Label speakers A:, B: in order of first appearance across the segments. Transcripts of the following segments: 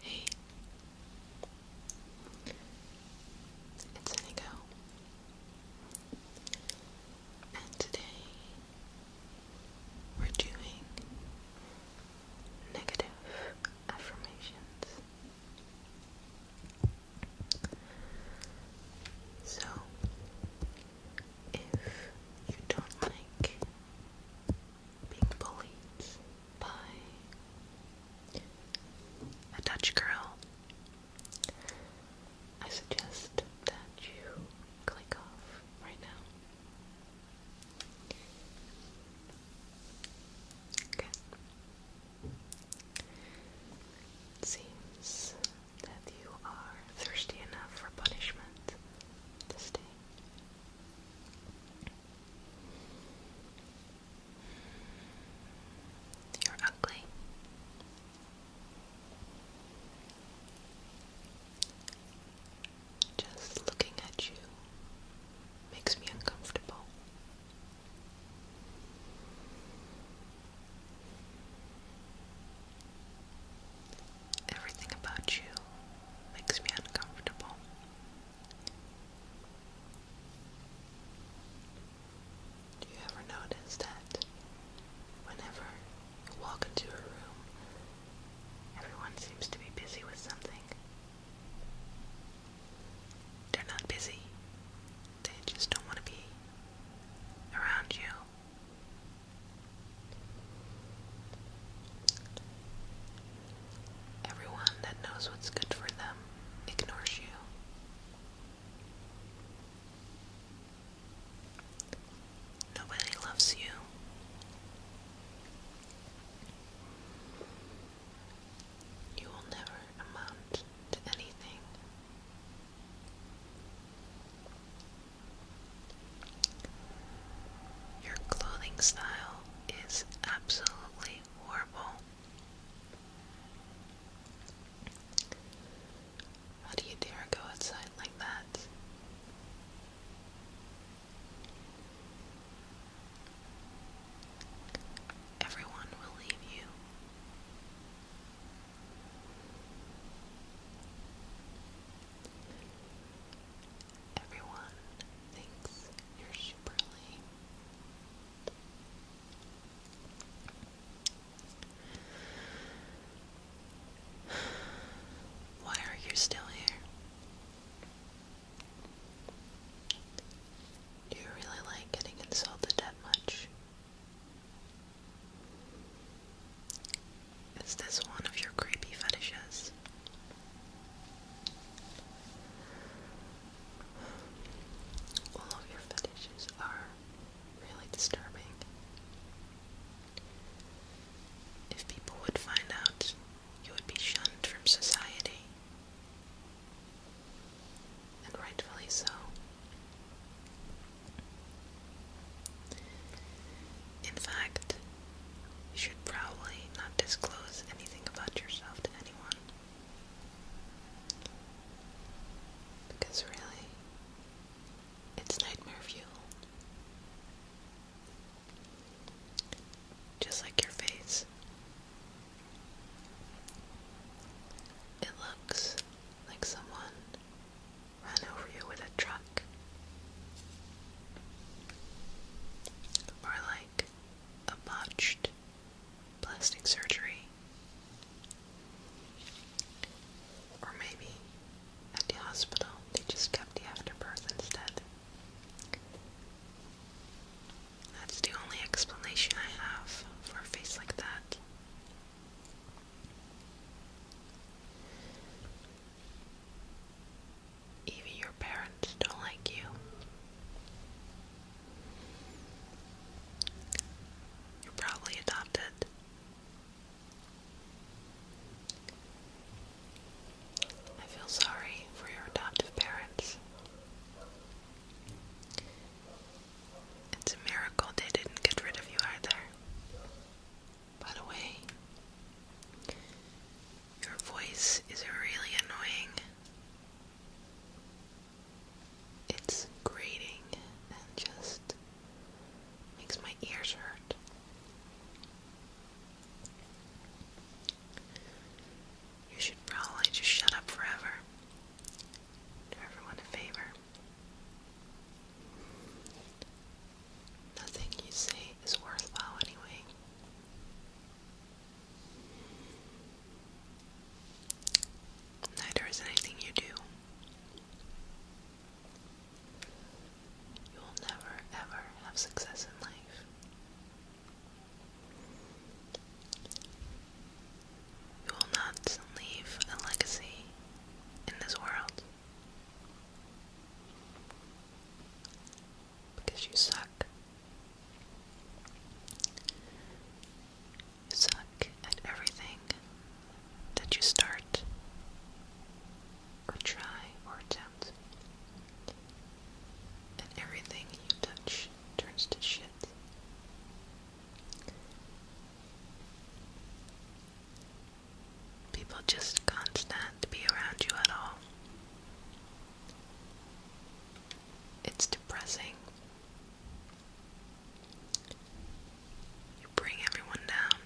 A: Hey, it's Nico, and today we're doing negative affirmations. So, if you don't like being bullied by a Dutch girl, I suggest that you click off right now. Okay. seems that you are thirsty enough for punishment this day. You're ugly. Just looking at you makes me uncomfortable. Everything about you makes me uncomfortable. Do you ever notice that whenever you walk into a room, everyone seems to be busy with something? They're not busy, they just don't want to be around you. Everyone that knows what's good for them ignores you. Nobody loves you. You will never amount to anything. Your clothing style is absolutely horrible. How do you dare go outside like that? Everyone will leave you everyone thinks you're super lame. Why are you still here? you really like getting insulted that much? Is this one of your creepy fetishes? All of your fetishes are really disturbing. If people would find out, you would be shunned from society. And rightfully so. In fact, you should probably not disclose anything about yourself to anyone. Because really, it's nightmare fuel. Just like your face. It looks like someone ran over you with a truck. Or like a botched plastic surgery. Or maybe at the hospital they just kept the afterbirth instead. That's the only explanation I have for a face like that even your parents don't like you. You're probably adopted. I feel sorry for your adoptive parents. It's a miracle they didn't get rid of you either. By the way, your voice is really annoying. It's grating and just makes my ears hurt. You should probably just shut up forever. Do everyone a favor. Nothing you say is worthwhile anyway. Neither is anything you do. You will never ever have success in life. You will not leave a legacy in this world. Because you suck. suck at everything that you start, or try, or attempt. And everything you touch turns to shit. People just can't stand to be around you at all. It's depressing. You bring everyone down.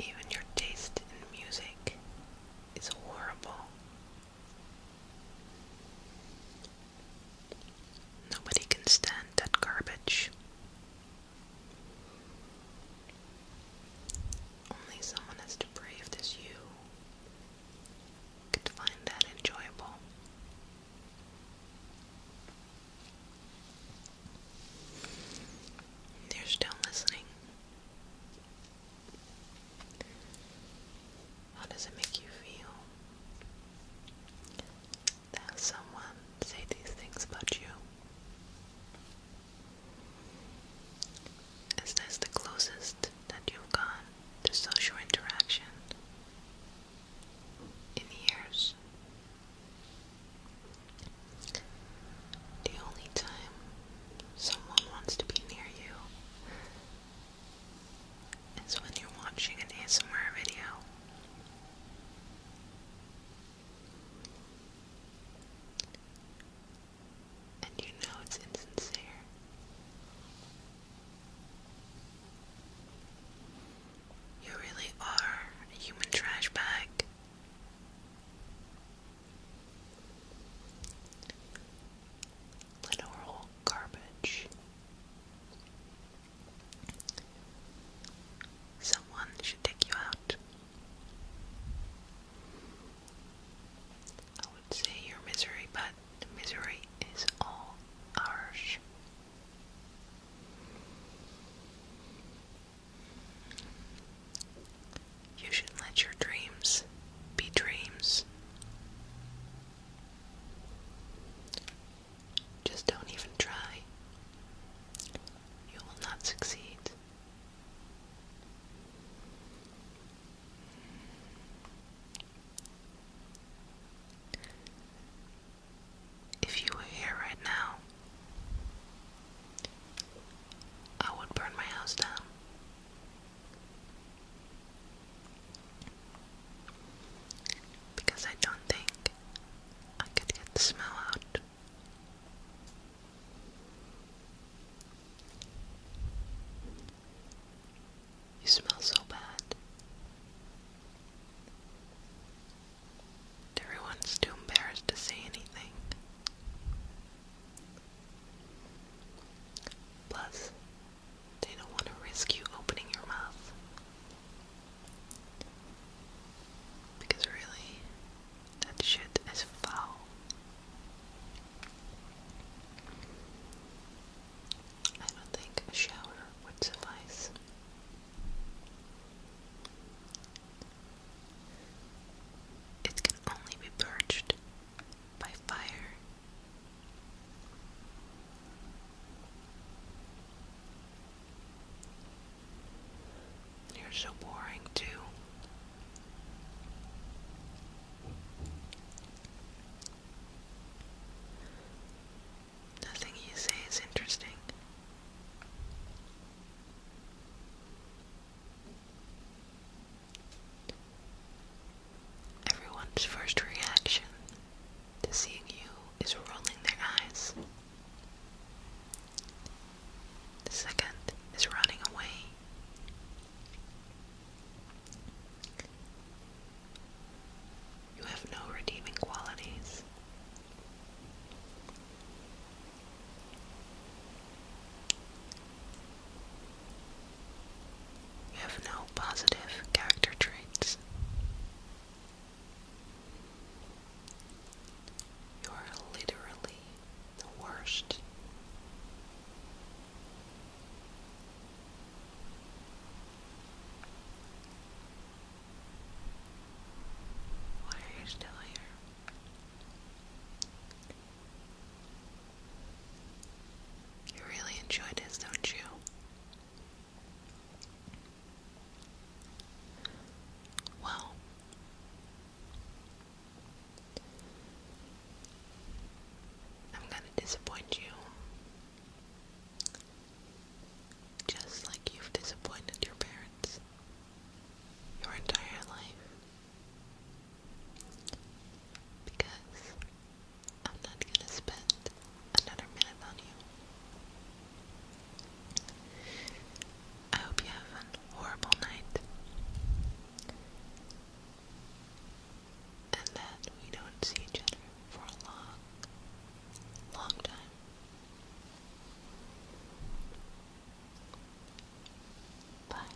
A: Even your taste in music is horrible. Nobody can stand that garbage. Only someone as depraved as you could find that enjoyable. They're still listening. How does it make you feel to someone say these things about you? Is this the closest that you've gone to social interaction in years? The only time someone wants to be near you is when you're watching an ASMR video. And you know it's insincere. You really are a human trash bag. Literal garbage. Someone should take you out. I would say your misery, but misery is all ours. You should let your dreams be dreams. Just don't even try. You will not succeed. If you were here right now, I would burn my house down. Because I don't think I could get the smell out. You smell so bad. Everyone's too embarrassed to say anything. Plus, they don't want to risk you opening your mouth. Because really, that shit is foul. I don't think a shower would suffice. It can only be purged by fire you're so boring, too. Nothing you say is interesting. Everyone's first reaction to seeing you is rolling their eyes. The second is running away. You have no redeeming qualities. You have no positive character traits. You are literally the worst. Why are you still here? You really enjoy this, don't you? Well, I'm going to disappoint you. Just like you've disappointed your parents your entire life. Because I'm not gonna spend another minute on you. I hope you have an horrible night. And that we don't see each other for a long, long time. Bye.